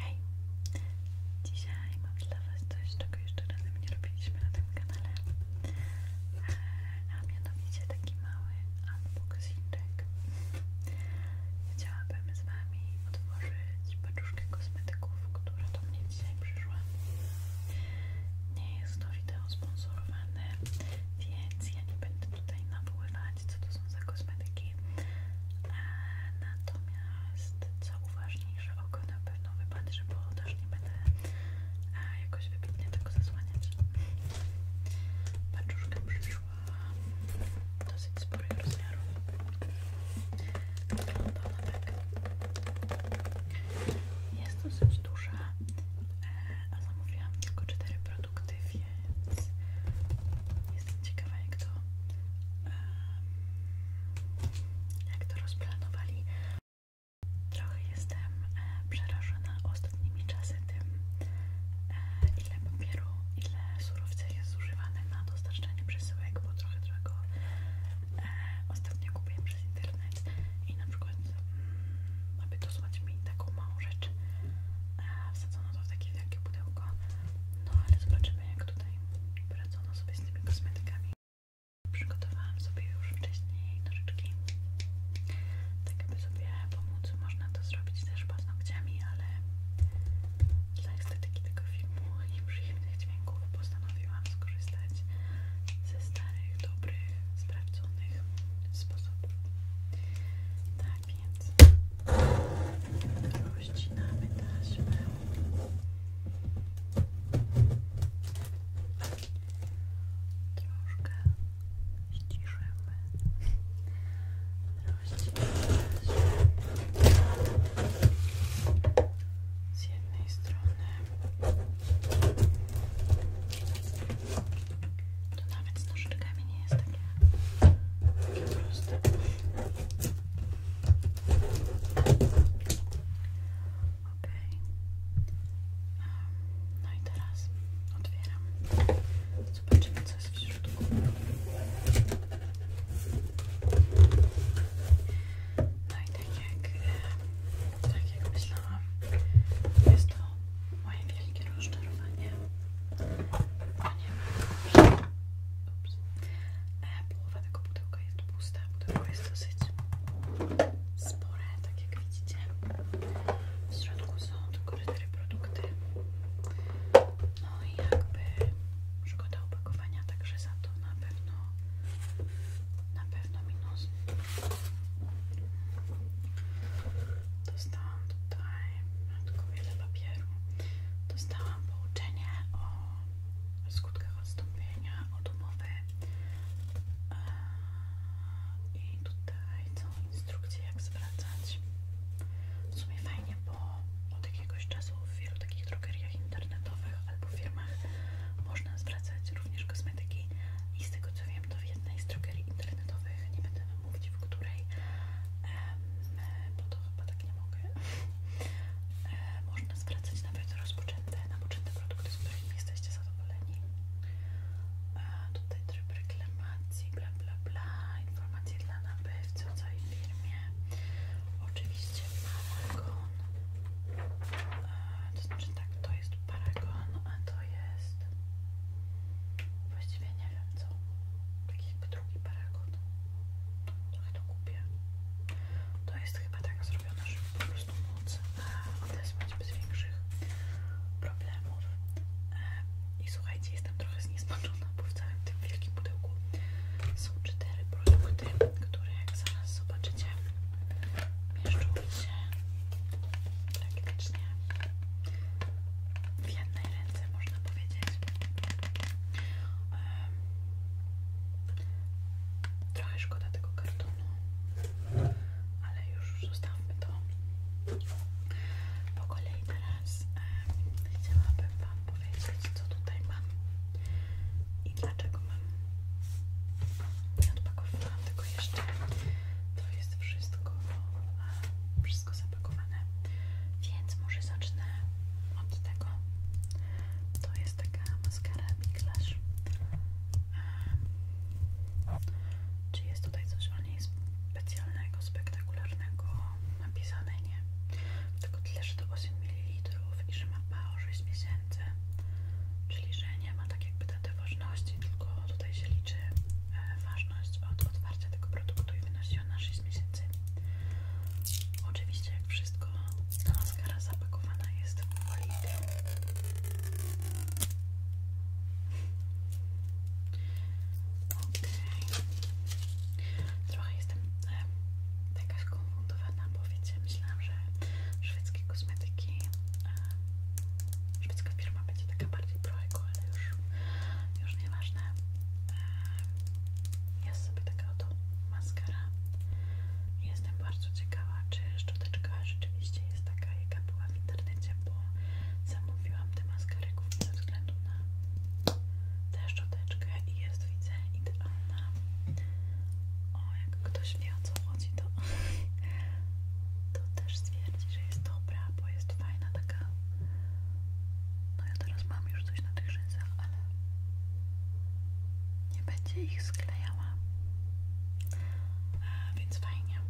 Hej! Dzisiaj mam dla Was coś, czego jeszcze razem nie robiliśmy na tym kanale e, a mianowicie taki mały unboxingek chciałabym z Wami otworzyć paczuszkę kosmetyków, która do mnie dzisiaj przyszła nie jest to wideo sponsorowane, więc ja nie będę tutaj nawoływać co to są za kosmetyki Natomiast co uważniejsze oko na pewno wypatrzy, bo też nie będę e, jakoś wybitnie tego zasłaniać. Paczuszka przyszła dosyć sporych rozmiarów. Wygląda ona tak. Jest dosyć duża, e, a zamówiłam tylko cztery produkty, więc Jestem ciekawa jak to jak to rozplanowali. Trochę jestem e, przerażona ostatnimi czasy tym, e, ile papieru, ile surowca jest zużywane na dostarczanie przesyłek, bo trochę tego e, ostatnio kupiłem przez internet i na przykład mm, aby dosłać mi taką małą rzecz wsadzono to w takie wielkie pudełko no ale zobaczymy jak tutaj tutaj sobie z tymi kosmetykami. Przygotowałam sobie już wcześniej nożyczki, tak aby sobie pomóc. Można to zrobić też paznokciami, ale dla estetyki tego filmu i przyjemnych dźwięków postanowiłam skorzystać ze starych, dobrych, sprawdzonych sposobów. Tak więc rozcinamy taśmę. Troszkę ściszymy. Rozcinamy taśmę. Z jednej strony to nawet z nożyczkami nie jest takie, takie proste. Okej. No i teraz otwieram. Zobaczymy, co jest w środku. No i tak jak, tak jak jest to moje wielkie rozczarowanie, ponieważ E, połowa tego pudełka jest pusta, pudełko jest dosyć spore, tak jak widzicie. W środku są tylko cztery produkty. No i jakby szkoda opakowania, także za to na pewno na pewno minus. Dostałam tutaj tylko wiele papieru. Dostałam pouczenie o skutkach odstąpienia od umowy e, i tutaj są instrukcje jak zwracać. W sumie fajnie, bo od jakiegoś czasu w wielu takich drogeriach internetowych albo firmach można zwracać również kosmetyki i z tego co wiem to w jednej z drogerii internetowych, nie będę mówić w której, e, bo to chyba tak nie mogę, E, można zwracać nawet rozpoczęte, napoczęte produkty, z których nie jesteście zadowoleni. E, tutaj tryb reklamacji, bla bla bla, informacje dla nabywcy o całej firmie. Oczywiście paragon, e, to znaczy tak, to jest paragon, a to jest... Właściwie nie wiem co. Jakieś drugi paragon. Trochę no, to kupię. To jest chyba tak zrobione, żeby po prostu móc e, odesłać bez większych problemów. E, I słuchajcie, jestem trochę zniesmaczona, bo w całym tym wielkim pudełku są cztery produkty, które jak zaraz zobaczycie, mieszczą się praktycznie w jednej ręce, można powiedzieć. E, Trochę szkoda tego kartonu, ale już zostawmy to. Po kolei teraz e, chciałabym Wam powiedzieć, co tutaj mam i dlaczego mam. Nie odpakowałam tego jeszcze. To jest wszystko. A Wszystko za więc może zacznę od tego. To jest taka maskara Big Lash. czy jest tutaj coś o niej specjalnego, spektakularnego napisane? Nie. Tylko tyle, że to 8 ml i że ma PAO 6 miesięcy. Czyli, że nie ma tak jakby daty ważności, tylko tutaj się liczy e, ważność od otwarcia tego produktu i wynosi ona 6 miesięcy. Oczywiście, jak wszystko, ta maskara zapakowana jest w bolikę. Okay. Trochę jestem e, taka skonfundowana, bo wiecie, myślałam, że szwedzkie kosmetyki, e, szwedzka firma będzie taka bardziej pro ale już, już nieważne. E, sobie taka oto maskara. Jestem bardzo ciekawa, czy szczoteczka rzeczywiście jest taka, jaka była w internecie, bo zamówiłam tę maskę głównie ze względu na tę szczoteczkę i jest, widzę, idealna. O, jak ktoś wie o co chodzi, to, to też stwierdzi, że jest dobra, bo jest fajna taka. No i teraz mam już coś na tych rzęsach, ale nie będzie ich sklejała więc fajnie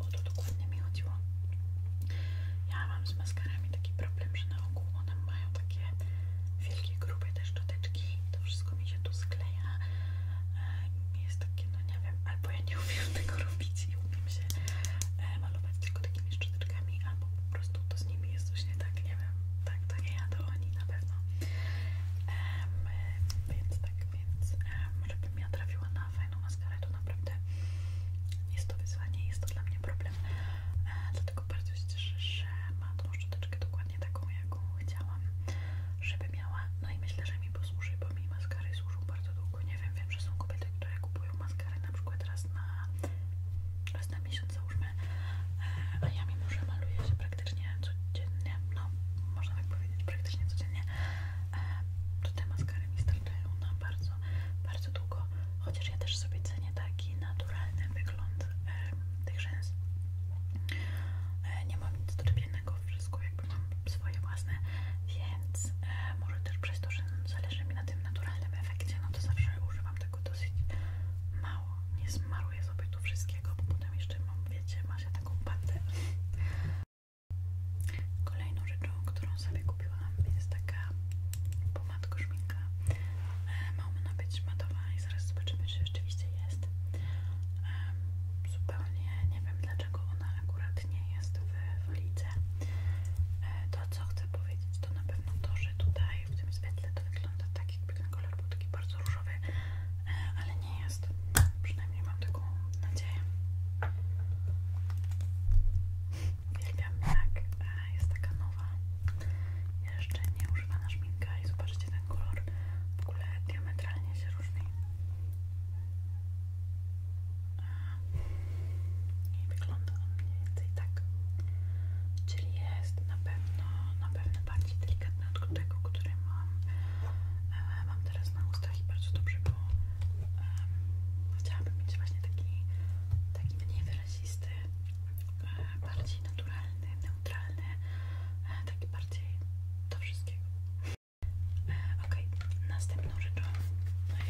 o to dokładnie mi chodziło ja mam z maskarami taki problem, że na ogół one mają takie wielkie, grube te szczoteczki to wszystko mi się tu skleja e, jest takie, no nie wiem, albo ja nie umiem tego robić i umiem się e, malować tylko takimi szczoteczkami książeczkami, albo po prostu to z nimi jest coś nie tak, nie wiem, tak, to nie ja, to oni na pewno. więc tak, więc um, żebym ja trafiła na fajną maskarę, to naprawdę jest to wyzwanie, jest to dla mnie problem. E, dlatego bardzo się cieszę, że ma tą szczoteczkę dokładnie taką, jaką chciałam, żeby miała. No i myślę, że mi posłuży, bo mi maskary służą bardzo długo. Nie wiem, wiem, że są kobiety, które kupują maskary na przykład raz na, raz na miesiąc, załóżmy a ja mimo, że maluję się praktycznie codziennie no, można tak powiedzieć, praktycznie codziennie e, to te maskary mi starczają na bardzo, bardzo długo chociaż ja też sobie cenię taki naturalny wygląd tych rzęs e, nie mam nic do czepiennego, wszystko jakby mam swoje własne, więc e, może też przez to, że zależy mi na tym naturalnym efekcie, no to zawsze używam tego tego dosyć mało. Nie smaruję sobie tu wszystkiego, bo potem jeszcze mam, wiecie, ma się taką patę. Kolejną rzeczą, którą sobie kupiłam, jest taka pomadka szminka. E, ma ona być matowa i zaraz zobaczymy, czy rzeczywiście jest. Zupełnie nie wiem, dlaczego ona akurat nie jest w ulicy e, To, co chcę powiedzieć, to na pewno to, że tutaj w tym świetle to wygląda tak jakby ten kolor był taki bardzo różowy e, ale nie jest, przynajmniej mam taką nadzieję uwielbiam jak jest taka nowa jeszcze nie używana szminka i zobaczcie ten kolor w ogóle diametralnie się różni i wygląda wygląda on mniej więcej tak. Czyli jest na pewno, na pewno bardziej delikatny od tego, który mam, e, mam teraz na ustach i bardzo dobrze, bo chciałabym mieć właśnie taki, taki mniej wyrazisty, e, bardziej naturalny, neutralny, e, taki bardziej do wszystkiego. E, ok, następną rzeczą,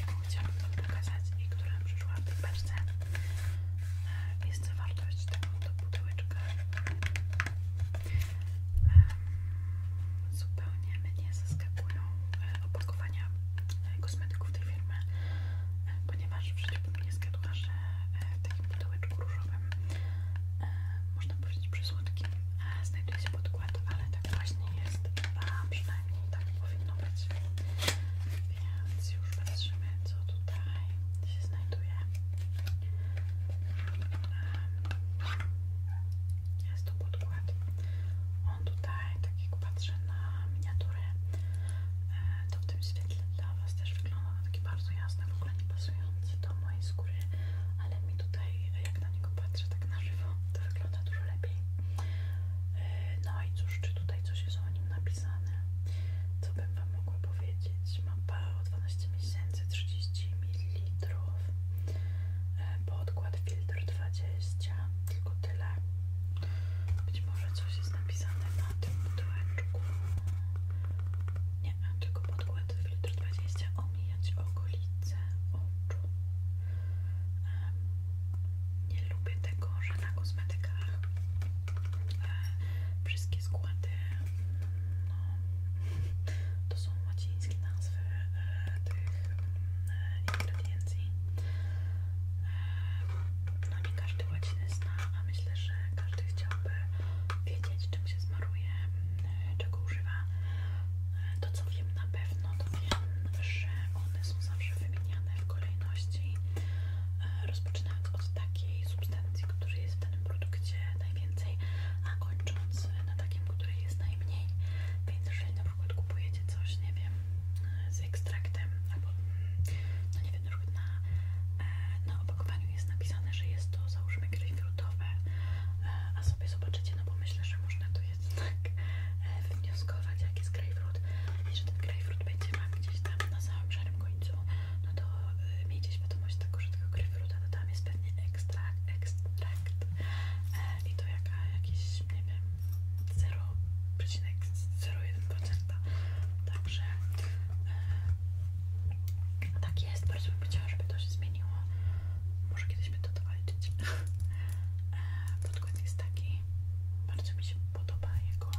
jaką chciałabym Wam pokazać i która przyszła w tej jest zawartość tego do pudełeczka zupełnie mnie zaskakują e, opakowania e, kosmetyków tej firmy e, ponieważ w życiu bym nie zgadła, że w takim pudełeczku różowym można powiedzieć przysłodkim znajduje się podkład, ale tak właśnie jest a przynajmniej tak powinno być więc już patrzymy, co tutaj się znajduje. Jest to podkład. On tutaj, tak jak patrzę na miniaturę, e, to w tym świetle dla Was też wygląda na bardzo jasny, w ogóle nie pasujący do mojej skóry, ale mi tutaj, jak na niego patrzę tak na żywo, to wygląda dużo lepiej. E, no i cóż, czy tutaj coś jest o nim napisane? Co bym Wam mogła powiedzieć? Ma pao 12 miesięcy, 30 ml. E, podkład filtr 20, tylko tyle. Być może coś jest napisane na tym pudełeczku. Nie, tylko podkład filtr 20 omijać okolice oczu. Um, nie lubię tego, że na kosmetykach Wszystkie składy no, to są łacińskie nazwy e, tych e, ingrediencji. E, no nie każdy łaciny zna, a myślę, że każdy chciałby wiedzieć, czym się zmaruje, czego używa. To co wiem na pewno, to wiem, że one są zawsze wymieniane w kolejności Rozpoczynając od takiej substancji, której jest w danym produkcie najwięcej, a kończąc na takim, który jest najmniej. Więc jeżeli na przykład kupujecie coś, nie wiem, z ekstraktem, albo no nie wiem, na e, na, opakowaniu jest napisane, że jest to załóżmy grejpfrutowe, e, a sobie zobaczycie, no bo myślę, że można tu jednak e, wywnioskować, jaki jest grejpfrut i że ten grejpfrut będzie Wam gdzieś tam na samym szarym końcu no to y, miejcie świadomość tego, że tego grejpfruta to tam jest pewnie ekstrakt, ekstrakt i to jaka, jakieś, nie wiem, 0,01%. Także e, tak jest, bardzo bym chciała, żeby to się zmieniło. Może kiedyś będę to walczyć. E, Podkład jest taki, bardzo mi się podoba jego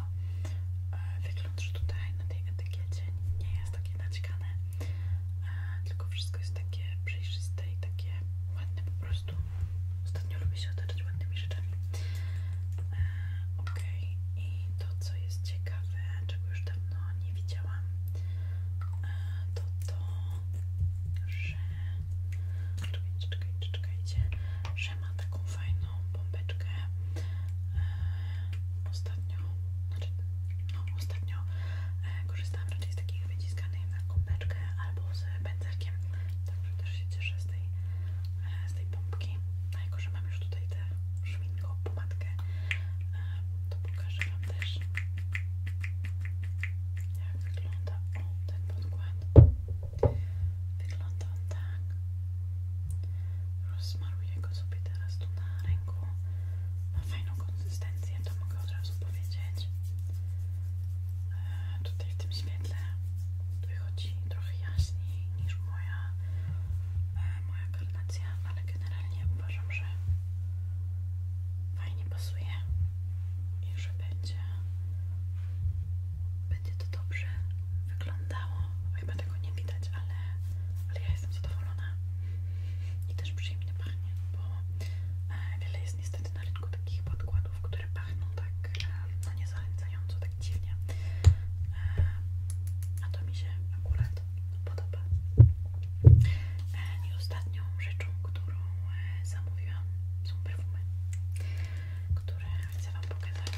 e, wygląd, że tutaj na tej etykiecie nie jest takie naciekane, e, tylko wszystko jest takie przejrzyste i takie ładne po prostu. Ostatnio lubię się otaczać ładnymi rzeczami. E, ok, i to co jest ciekawe, czego już dawno nie widziałam, to to, że czekajcie, czekajcie, że ma taką fajną jedną bombeczkę e, ostatnio, znaczy, no, ostatnio e, korzystałam raczej z takich wyciskanych na kąpeczkę albo z pędzelkiem także też się cieszę z tej, e, z tej pompki a no, jako, że mam już tutaj tę szwinką pomadkę e, to pokażę wam też jak wygląda ten podkład Wygląda on tak. Rozmaruję go sobie teraz tu na ręku. Ma fajną konsystencję, to mogę od razu powiedzieć. E, tutaj w tym świetle wychodzi trochę jaśniej niż moja, e, moja karnacja, ale generalnie uważam, że fajnie pasuje i że będzie będzie to dobrze wyglądało. Chyba tego nie widać, ale, ale ja jestem zadowolona i też przyjemnie pachnie, bo e, wiele jest niestety na rynku takich podkładów, które pachną tak e, no niezachęcająco, tak dziwnie. E, a to mi się akurat podoba. E, I ostatnią rzeczą, którą e, zamówiłam, są perfumy które chcę Wam pokazać.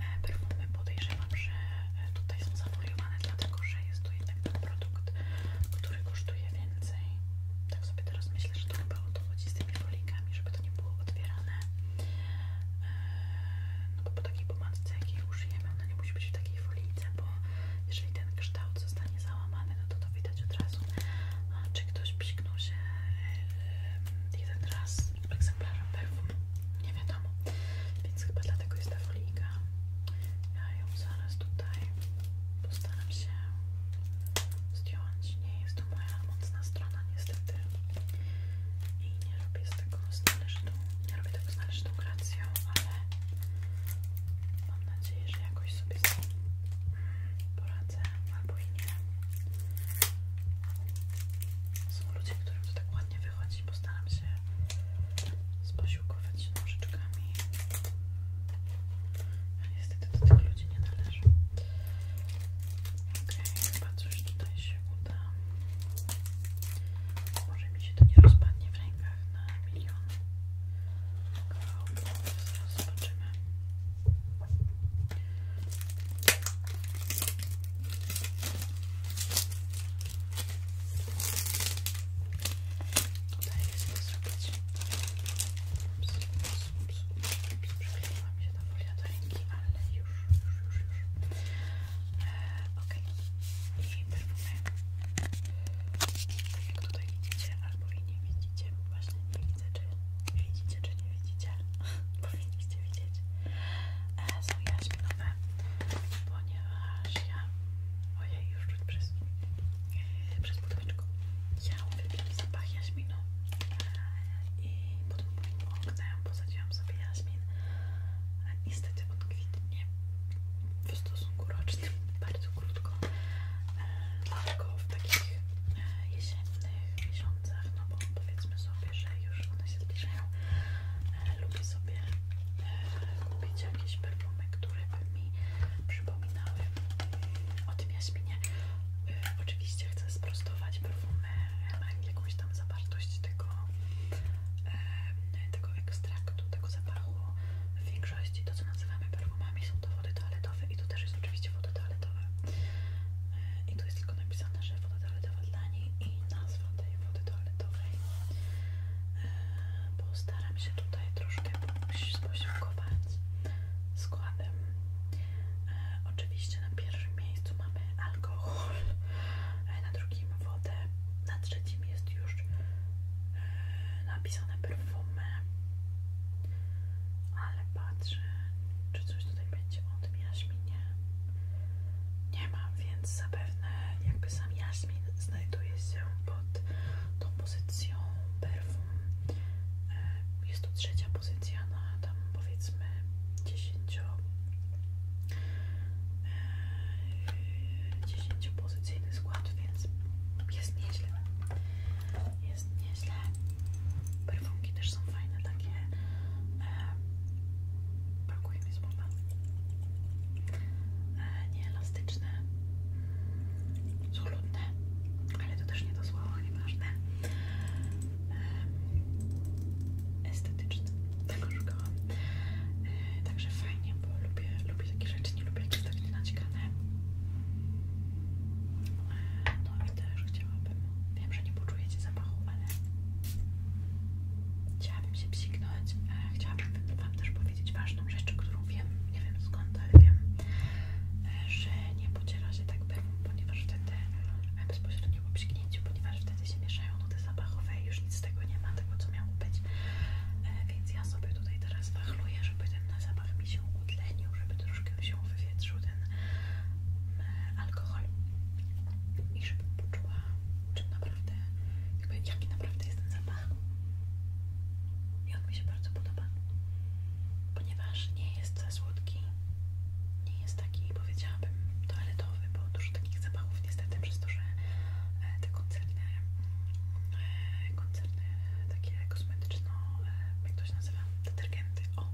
E, perfumy podejrzewam, że e, tutaj są zafoliowane, dlatego że jest to jeden ten produkt, który kosztuje więcej. Tak sobie teraz myślę, że to chyba o to chodzi z tymi folikami, żeby to nie było otwierane. E, no bo po takiej pomadce, jakiej użyjemy, ona nie musi być w takiej folijce, bo jeżeli ten kształt zostanie załamany, no to to widać od razu. A czy ktoś pisknął się jeden raz egzemplarza perfum, nie wiadomo, więc chyba dlatego jest ta folika. Ja ją zaraz tutaj postaram się zdjąć. Nie jest to moja mocna strona niestety i nie robię z tego z należytą, nie robię tego z należytą gracją, ale mam nadzieję, że jakoś sobie z tym poradzę albo i nie. Są ludzie, którym to tak łatwo nie wychodzi. Postaram się sposiłkować nożyczkami. Ja no, niestety do tych ludzi nie należę. Okej, okay, chyba coś tutaj się uda. Może mi się to nie rozpadnie w rękach na milion kawałków. Zobaczymy. Udaje się to zrobić. Ups, ups, ups, ups, ups. Przykleiła mi się ta folia do ręki, ale już, już, już, już. Eee, ok. I perfumy. Tak jak tutaj widzicie, albo i nie widzicie. Właśnie nie widzę, czy widzicie, czy nie widzicie. Bo powinniście widzieć, e, są jaśminowe, ponieważ ja, ojej, już czuć przez, e, przez budowiczko, ja uwielbiam zapach jaśminu e, i pod moim oknem posadziłam sobie jaśmin, e, niestety on kwitnie w stosunku rocznym bardzo krótko, e, w takich e, jesiennych miesiącach, no bo powiedzmy sobie, że już one się zbliżają E, lubię sobie e, kupić jakieś perfumy, które by mi przypominały mm, o tym jaśminie. E, oczywiście chcę sprostować perfumy, mają jakąś tam zawartość tego, e, tego ekstraktu, tego zapachu. W większości to, co nazywamy perfumami, są to wody toaletowe i tu też jest oczywiście woda toaletowa. I tu jest tylko napisane, że woda toaletowa sprawa dla niej i nazwa tej wody toaletowej. Postaram e, się tutaj troszkę posiłkować składem. E, oczywiście na pierwszym miejscu mamy alkohol, e, na drugim wodę, na trzecim jest już napisane perfumy, ale patrzę, czy coś tutaj tutaj będzie od jaśminie nie ma, więc zapewne jakby sam jaśmin znajduje się pod tą pozycją perfum. E, jest to trzecia pozycja na tam powiedzmy 10, 10 pozycyjny skład, więc jest nieźle. Jest nieźle. Perfumki też są fajne takie e, brakuje mi słowa e, nieelastyczne solutne ale to też nie do słowo, nieważne e, estetyczne tego szukałam e, także fajnie, bo lubię, lubię takie rzeczy nie lubię jak jest tak nienaćkane e, no i też chciałam chciałabym. Wiem, że nie poczujecie zapachu, ale chciałabym się psiknąć. Chciałabym Wam też powiedzieć ważną rzecz, którą wiem, nie wiem skąd, ale wiem, że nie pociera się tak perfum, ponieważ wtedy bezpośrednio po psiknięciu, ponieważ wtedy się mieszają nuty zapachowe i już nic z tego nie ma, tego co miało być. E, więc ja sobie tutaj teraz wachluję, żeby ten zapach mi się utlenił, żeby troszkę się wywietrzył ten alkohol i żeby poczuła naprawdę, jakby jaki naprawdę jest ten zapach. I on mi się bardzo podoba, ponieważ nie jest za słodki, nie jest taki, powiedziałabym, toaletowy, bo dużo takich zapachów niestety przez to, że e, te koncerny, e, koncerny takie kosmetyczno, e, jak to się detergenty, o,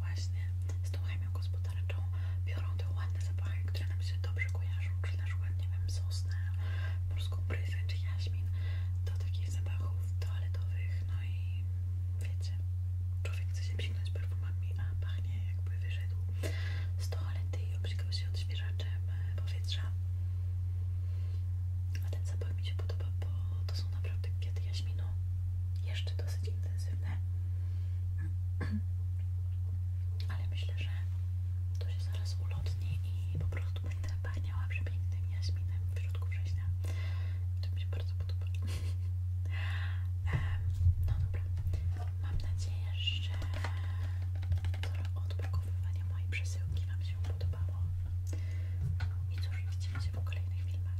właśnie z tą ziemią gospodarczą biorą te ładne zapachy, które nam się dobrze kojarzą, czy na przykład, nie wiem, sosnę, polską bryzę, czy jaśmin, do takich zapachów toaletowych, no i wiecie, człowiek chce się psiknąć perfumami, a pachnie jakby wyszedł z toalety i obsikał się odświeżaczem e, powietrza. A ten zapach mi się podoba, bo to są naprawdę kwiaty jaśminu, jeszcze dosyć intensywne ale myślę, że to się zaraz ulotni i po prostu będę pachniała przepięknym jaśminem w środku września. To mi się bardzo podoba. No dobra, mam nadzieję, że to odpakowywanie mojej przesyłki Wam się podobało. I cóż, widzimy się w kolejnych filmach.